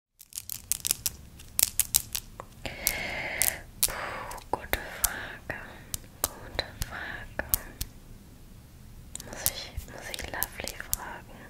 Puh, gute Frage. Gute Frage. Muss ich, muss ich Lovely fragen,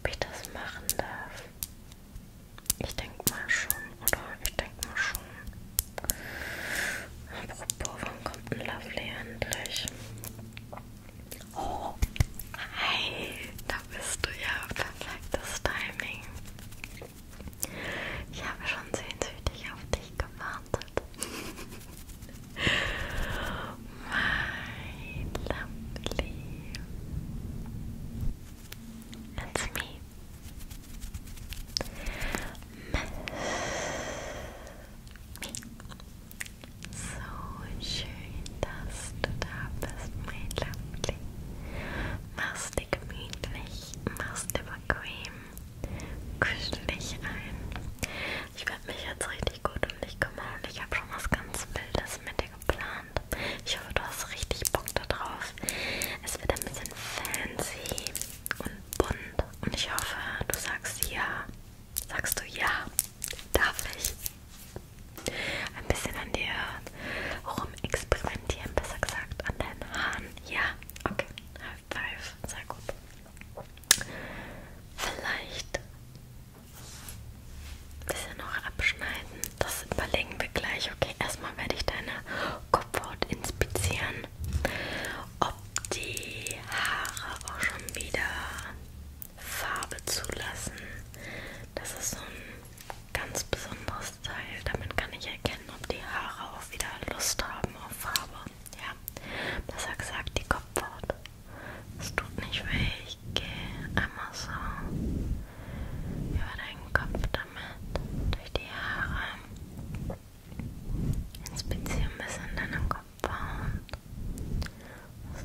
ob ich das machen darf? Ich denke mal schon, oder? Ich denke mal schon. Apropos, wann kommt ein Lovely endlich? Oh, hi, da bist du ja. Perfektes Timing. Ich habe schon sehnsüchtig auf dich gewartet. My lovely. It's me. Miss me. So schön, dass du da bist, mein Lovely. Mach's dir gemütlich, mach's dir bequem, kuschel dich ein. Ich werde mich jetzt richtig gut um dich kümmern und ich habe schon was ganz Wildes mit dir geplant. Ich hoffe, du hast richtig Bock darauf. Es wird ein bisschen fancy und bunt und ich hoffe, du sagst ja. Sagst du ja? Darf ich? ein bisschen an dir rum experimentieren, besser gesagt an deinen Haaren. Ja, okay, half five, sehr gut. Vielleicht ein bisschen noch abschneiden, das überlegen wir gleich. Okay, erstmal werde ich deine Kopfhaut inspizieren, ob die Haare auch schon wieder Farbe zulassen. Das ist so ein ganz besonderes Teil. Damit kann ich erkennen, ob die Haare auch wieder Lust haben auf Farbe. Ja, besser gesagt die Kopfhaut. Es tut nicht weh. Ich gehe einmal so über deinen Kopf damit, durch die Haare. Inspiziere ein bisschen deine Kopfhaut. Es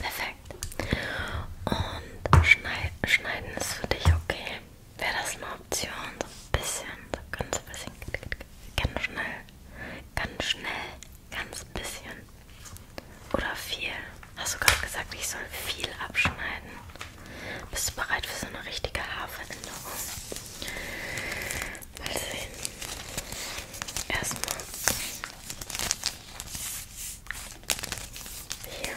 Perfekt. Und schneid, schneiden ist für dich okay. Wäre das eine Option? So ein bisschen, so ganz bisschen, ganz schnell, ganz schnell, ganz bisschen. Oder viel. Hast du gerade gesagt, ich soll viel abschneiden? Bist du bereit für so eine richtige Haarveränderung? Mal sehen. Erstmal hier.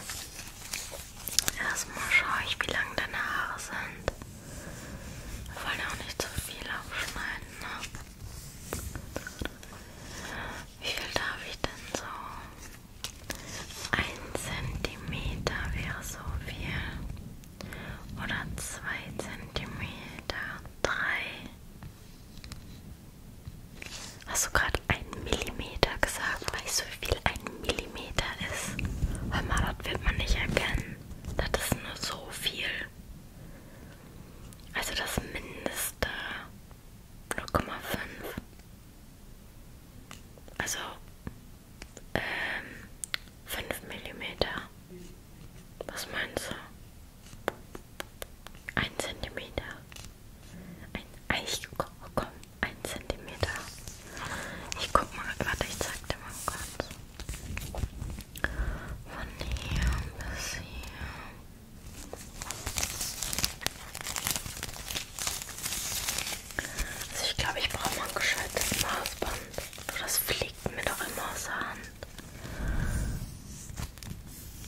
Erstmal schaue ich, wie lang deine Haare sind. Wir wollen ja auch nicht zu viel abschneiden, ne? Wie viel darf ich denn so? Ein Zentimeter wäre so viel. Oder zwei Zentimeter. Drei. Hast du gerade einen Millimeter gesagt? Weißt du, wie viel ein Millimeter ist? Hör mal, das wird man nicht erkennen. Das ist nur so viel. Also das Mindeste 0,5. Also ähm, 5 Millimeter. Was meinst du? Ein Zentimeter. Ein Eich. Oh, komm, oh ein Zentimeter. Ich guck mal, warte, ich zeig dir mal kurz. Von hier bis hier. Also ich glaube, ich brauche mal ein geschaltetes Maßband. Das fliegt mir doch immer aus der Hand.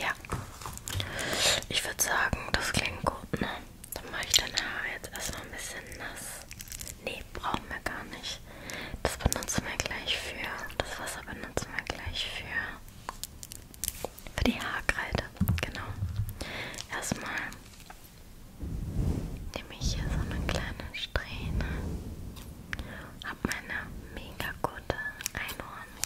Ja. Ich würde sagen, das klingt gut, ne? Dann mache ich deine Haare jetzt erstmal ein bisschen nass. Ne, brauchen wir gar nicht. Das benutzen wir gleich für. Das Wasser benutzen wir gleich für. Für die Haarkreide. Genau. Erstmal nehme ich hier so eine kleine Strähne. Hab meine mega gute Einhorn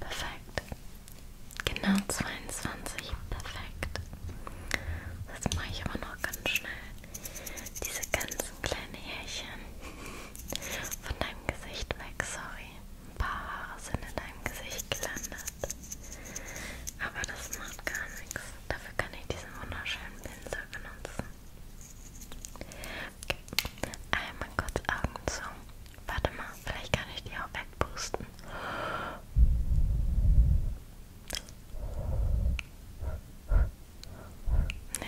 Perfekt. Genau 22. Perfekt. Das mache ich aber noch ganz schnell. Diese ganzen kleinen Härchen von deinem Gesicht weg. Sorry. Ein paar Haare sind in deinem Gesicht gelandet. Aber das macht gar nichts. Dafür kann ich diesen wunderschönen Pinsel benutzen. Okay. Einmal kurz Augen zu. Warte mal, vielleicht kann ich die auch wegpusten. Nee,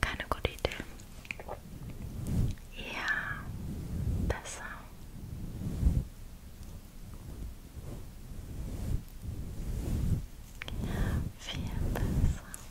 keine gute Idee. Ja, besser. Ja, viel besser.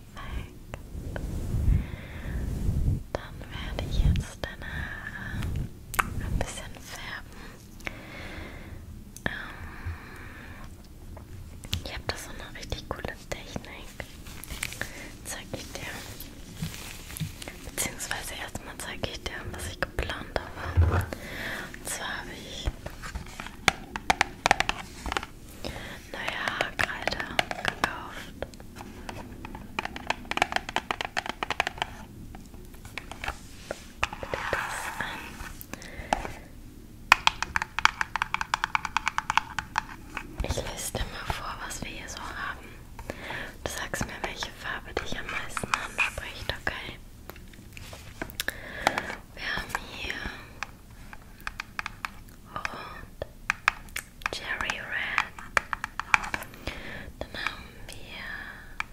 Perfekt. Dann werde ich jetzt deine Haare ein bisschen färben. Ähm, ich habe da so eine richtig coole Technik. Zeige ich dir. Beziehungsweise erstmal zeige ich dir, was ich geplant habe. Und zwar habe ich naja, Kreide gekauft. Ich liste mal vor, was wir hier so haben. Du sagst mir, welche Farbe dich am meisten anspricht, okay? Wir haben hier und Cherry Red. Dann haben wir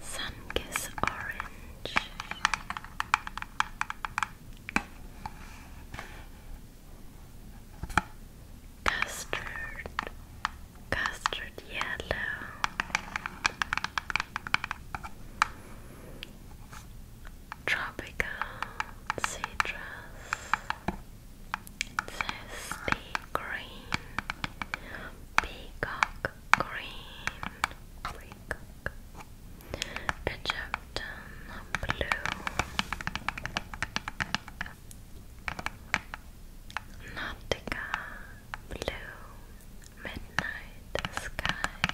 Sunkiss Orange. Custard, custard yellow, tropical citrus, zesty green, peacock green, peacock, Egyptian blue, nautica blue, midnight sky.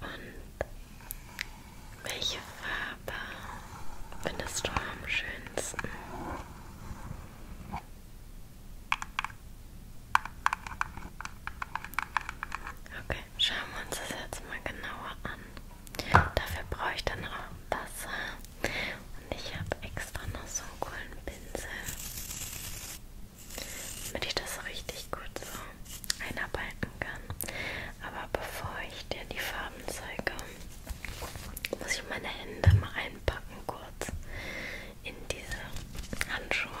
Und welche Farbe findest du am schönsten? Okay, schauen wir uns das jetzt mal genauer an. Dafür brauche ich dann auch Wasser. Und ich habe extra noch so einen coolen Pinsel, damit ich das richtig gut so einarbeiten kann. Aber bevor ich dir die Farben zeige, muss ich meine Hände mal einpacken kurz in diese Handschuhe,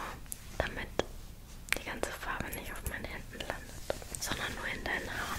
damit die ganze Farbe nicht auf meinen Händen landet, sondern nur in deinen Haaren.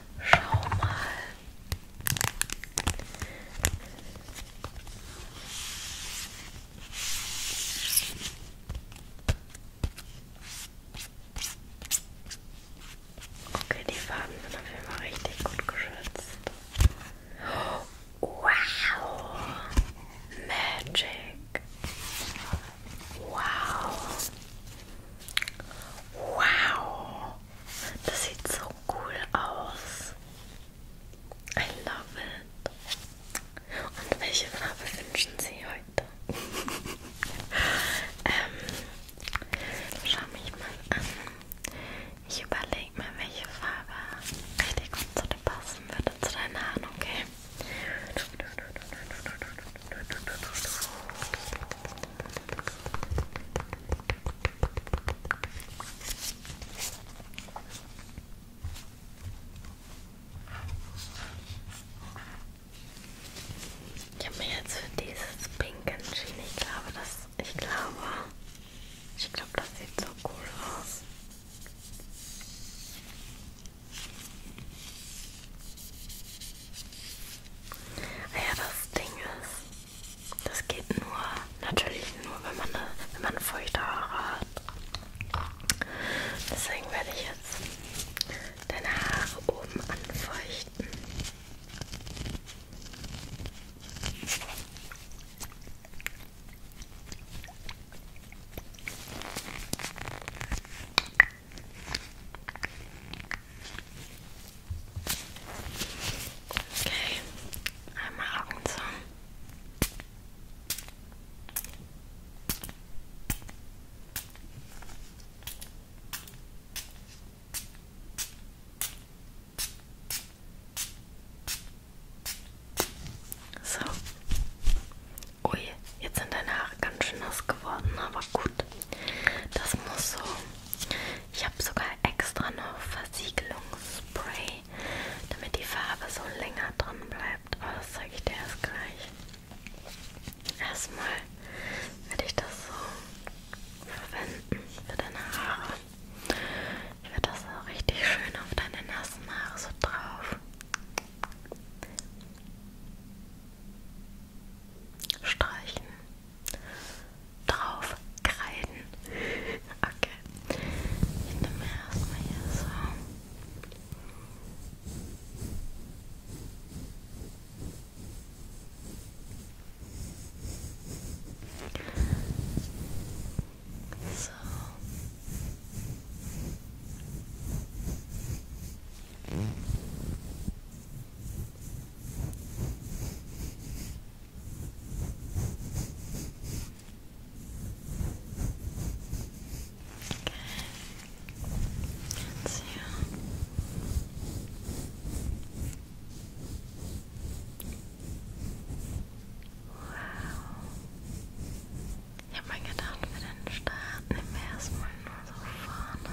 Schau mal. Okay, die Farben sind auf jeden Fall richtig gut geschützt. Wow! Magic! Wow! Wow! Das sieht so cool aus. I love it. Und welche Farbe wünschen Sie heute? ähm, schau mich mal an. Ich überlege mir, welche Farbe richtig gut zu dir passen würde, zu deinen Haaren, okay? Ich habe mir jetzt für dieses Pink entschieden. Ich glaube, das, ich glaube, ich glaube, das sieht so cool aus. Ah ja, das Ding ist, das geht nur, natürlich nur, wenn man, wenn man feuchte Haare hat. Deswegen werde ich jetzt deine Haare oben anfeuchten. Okay, einmal Augen zu. So. Ui, jetzt sind deine Haare ganz schön nass geworden, aber gut. Das muss so ich habe sogar extra noch Versiegelungsspray, damit die Farbe so länger drin bleibt. Aber oh, das zeige ich dir erst gleich. Erstmal werde ich das so verwenden für deine Haare. Ich werde das so richtig schön auf deine nassen Haare so drauf. Streichen drauf kreiden. Okay. Ich nehme erstmal hier so. So. Jetzt hier. Wow. Ich habe mir gedacht, für den Start nehmen wir erstmal nur so vorne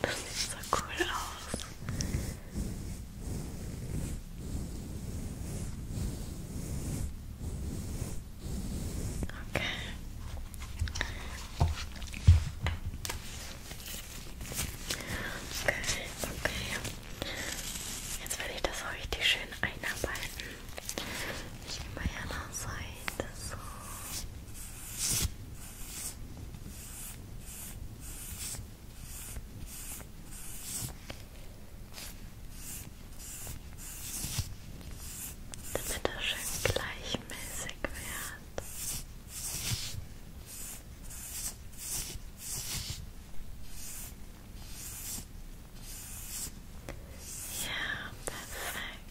das sieht so cool aus. Okay. Okay, okay. Jetzt werde ich das richtig schön einarbeiten. Ich nehme mal hier noch Seite so. Damit das schön gleichmäßig wird. Ja, perfekt.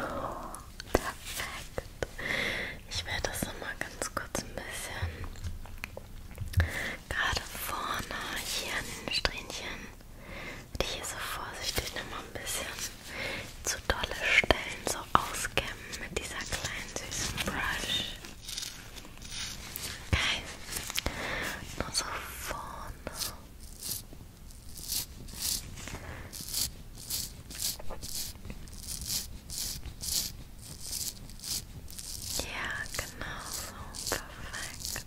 Oh, perfekt. Ich werde das nochmal ganz kurz ein bisschen gerade vorne hier an den Strähnchen. Die hier so vorsichtig nochmal ein bisschen zu dolle Stellen so auskämmen mit dieser kleinen süßen Brush. Okay. Nur so vorne. Ja, genau so. Perfekt.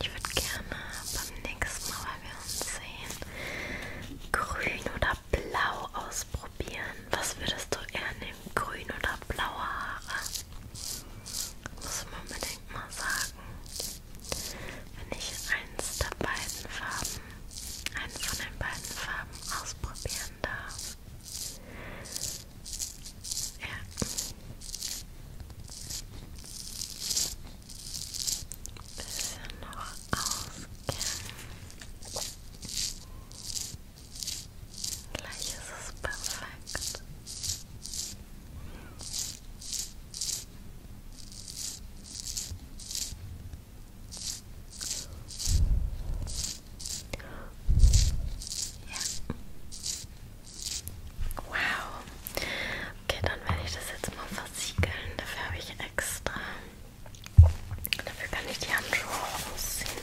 Ich würde gerne beim nächsten Mal, wenn wir uns sehen, grün oder blau ausprobieren. Was würdest du eher nehmen? Grün oder blaue Haare? Muss man unbedingt mal sagen wenn ich eins der beiden Farben, eine von den beiden Farben ausprobieren darf. Ja. Bisschen noch auskennen. Gleich ist es perfekt. Ja. Wow. Okay, dann werde ich das jetzt mal versiegeln. Dafür habe ich extra. Dafür kann ich die Handschuhe ausziehen.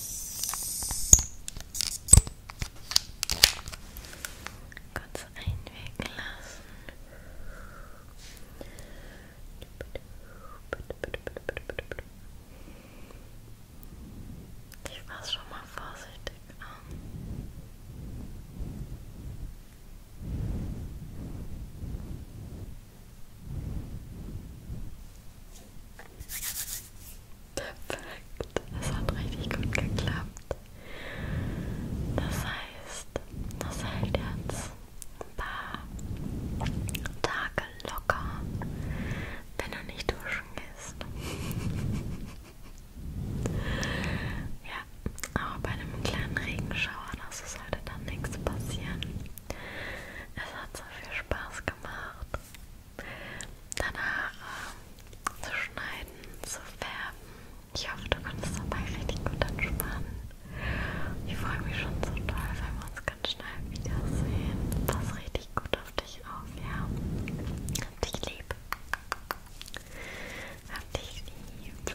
Kurz einwirken lassen. Ich fasse schon mal vorsichtig an. Gut. Perfekt. Das hat richtig gut geklappt. Das heißt, das hält jetzt ein paar Tage locker, wenn du nicht duschen gehst. ja, aber bei einem kleinen Regenschauer, das ist heute dann nichts passieren. Es hat so viel Spaß gemacht. Deine Haare ähm, zu schneiden, zu färben. Ich hoffe, du konntest dabei richtig gut entspannen. Ich freue mich schon so toll, wenn wir uns ganz schnell wiedersehen. Pass richtig gut auf dich auf, ja? Hab dich lieb. Hab dich lieb.